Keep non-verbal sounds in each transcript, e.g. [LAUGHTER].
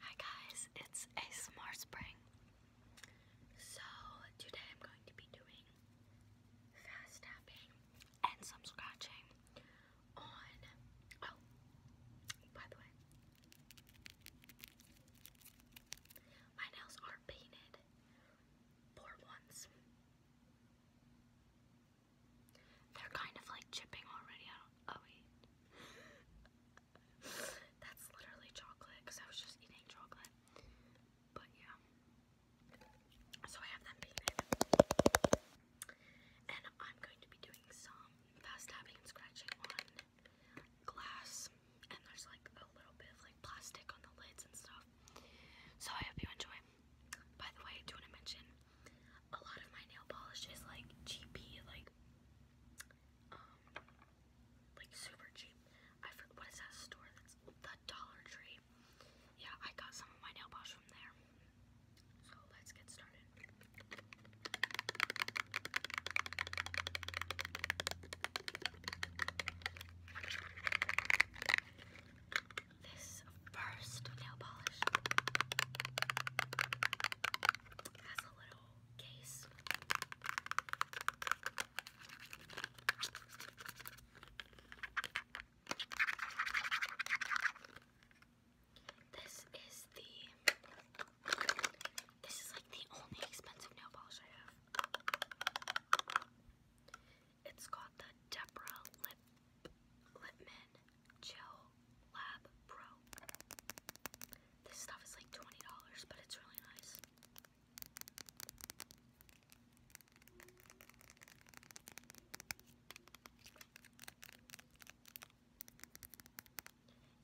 Hi guys, it's a Smart Spring. So today I'm going to be doing fast tapping and some scratching on oh by the way. My nails are painted for once. They're kind of like chipping already. Oh wait. [LAUGHS] That's literally chocolate because I was just eating chocolate. But yeah. So I have that peanut. And I'm going to be doing some fast tapping and scratching on glass. And there's like a little bit of like plastic on the lids and stuff. So I hope you enjoy. By the way, do want to mention a lot of my nail polish like cheapy, like um like super cheap. I forgot what is that store that's the Dollar Tree. Yeah, I got some of my nail polish from there. So let's get started this first nail polish. has a little case. This is the this is like the only expensive nail polish I have. It's called the Deborah Lipman Gel Lab Pro. This stuff is like $20, but it's really nice.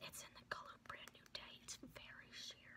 It's in the color Brand New Day. It's very sheer.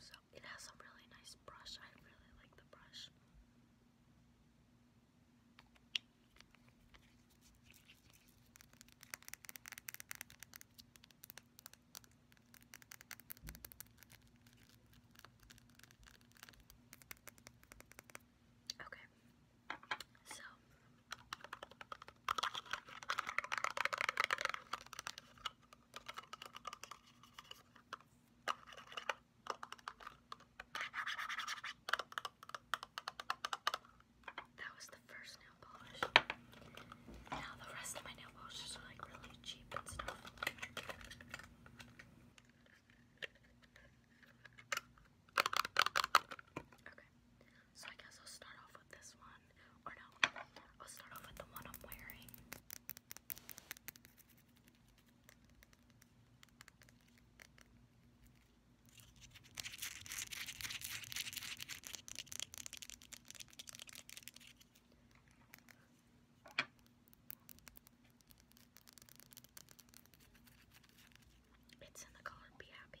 So it has a really nice brush. I really like the brush. Okay, so that was the first nail polish. Now the rest of my nail polishes are like really cheap and stuff. Okay, so I guess I'll start off with this one. Or no, I'll start off with the one I'm wearing. It's in the color Be Happy.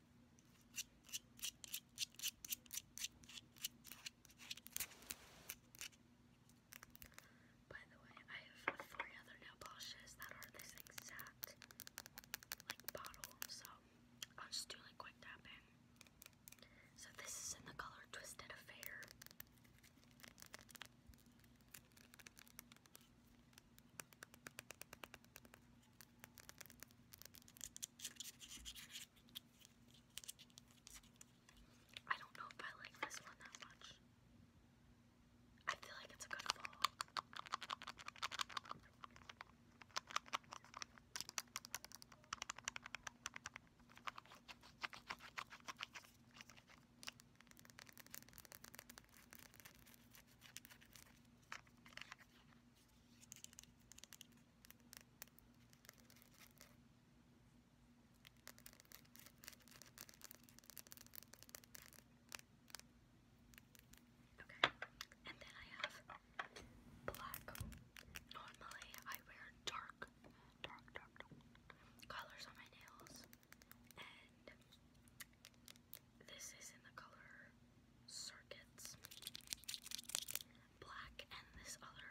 By the way, I have three other nail polishes that are this exact like bottle, so I'll just do quick tapping. So this is in the color Twisted Affair. I don't know if I like this one that much. I feel like it's a good fall. Okay, and then I have black. Normally, I wear dark, dark, dark, dark colors on my nails, and this is in the color Circuits Black, and this other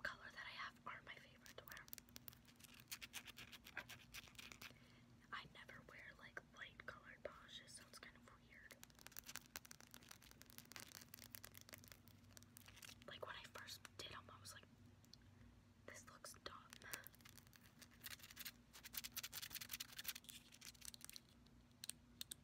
color that I have are my favorite to wear. I never wear like light colored polishes, so kind of weird. Like when I first did them, I was like, this looks dumb.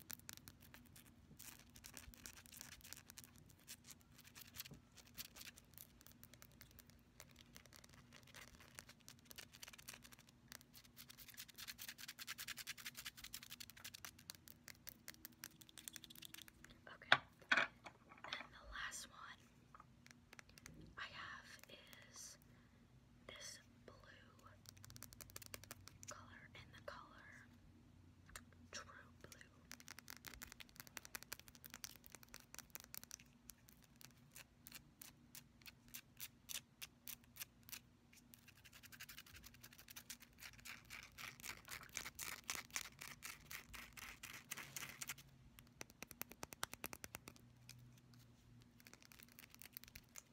Okay, and the last one I have is this blue color in the color True Blue. I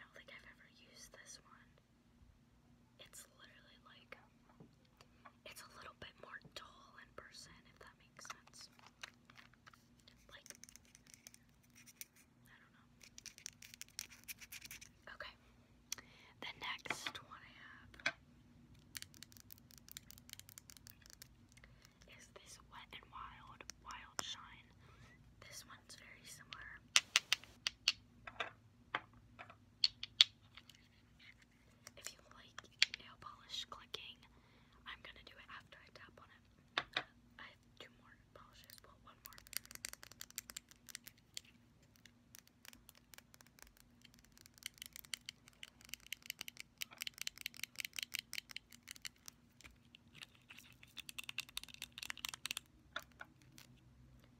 don't think I've ever used this one. It's literally like it's a little bit more dull in person, if that makes sense. Like I don't know. Okay. The next one I have is this Wet and Wild Wild Shine. This one's very similar. If you like nail polish clicking, I'm gonna do it after I tap on it. I have two more polishes, well, one more.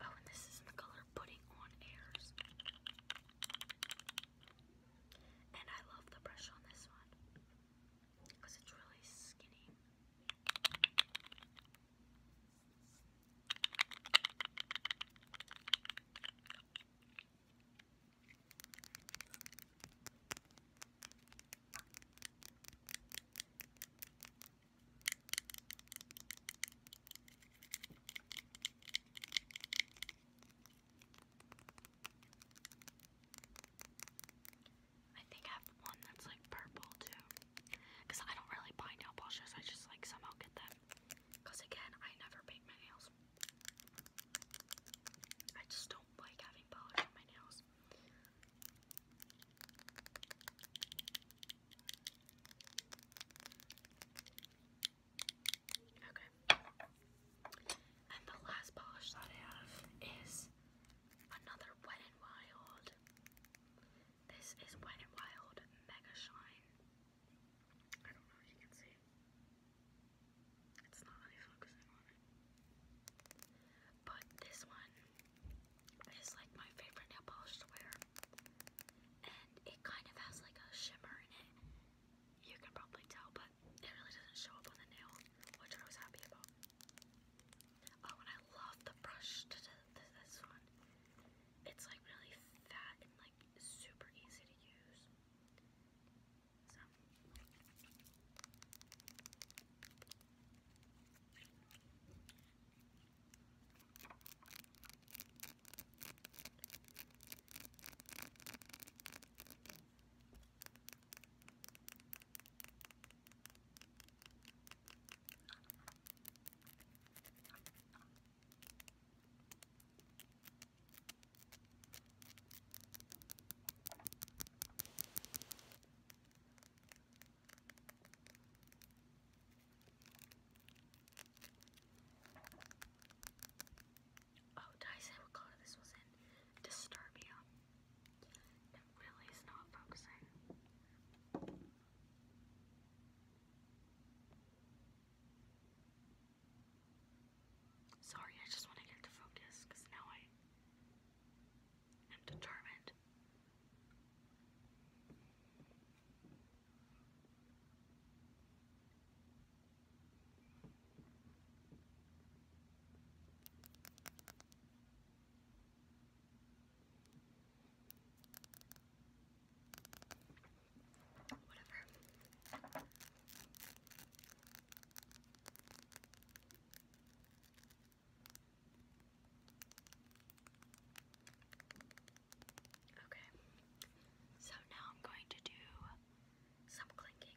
Oh, and this is in the color Putting on Airs. And I love the brush on this one because it's really skinny. I think I have one that's like purple too. Cause I don't really buy nail polishes, I just like somehow get them. Cause again, I never paint my nails. I just don't like having polish on my nails. Okay. And the last polish that I have is Another Wet n Wild. This is Wet n Wild Mega Shine. I don't know if you can see. It's not really focusing on it. But this one is like my favorite nail polish to wear. And it kind of has like a shimmer in it. You can probably tell, but it really doesn't show up on the nail, which I was happy about. Oh, and I love the brush this one. It's like really fat and like super easy to use. Oh, did I say what color this was in? Disturbia. It really is not focusing. Sorry, I just want to get to focus because now I am determined. Whatever. Okay. So now I'm going to do some clinking.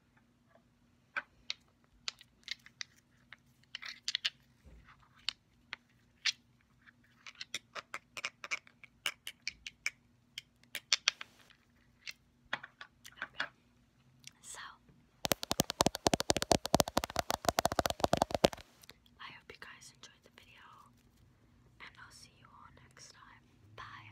Okay. So I hope you guys enjoyed the video and I'll see you all next time. Bye.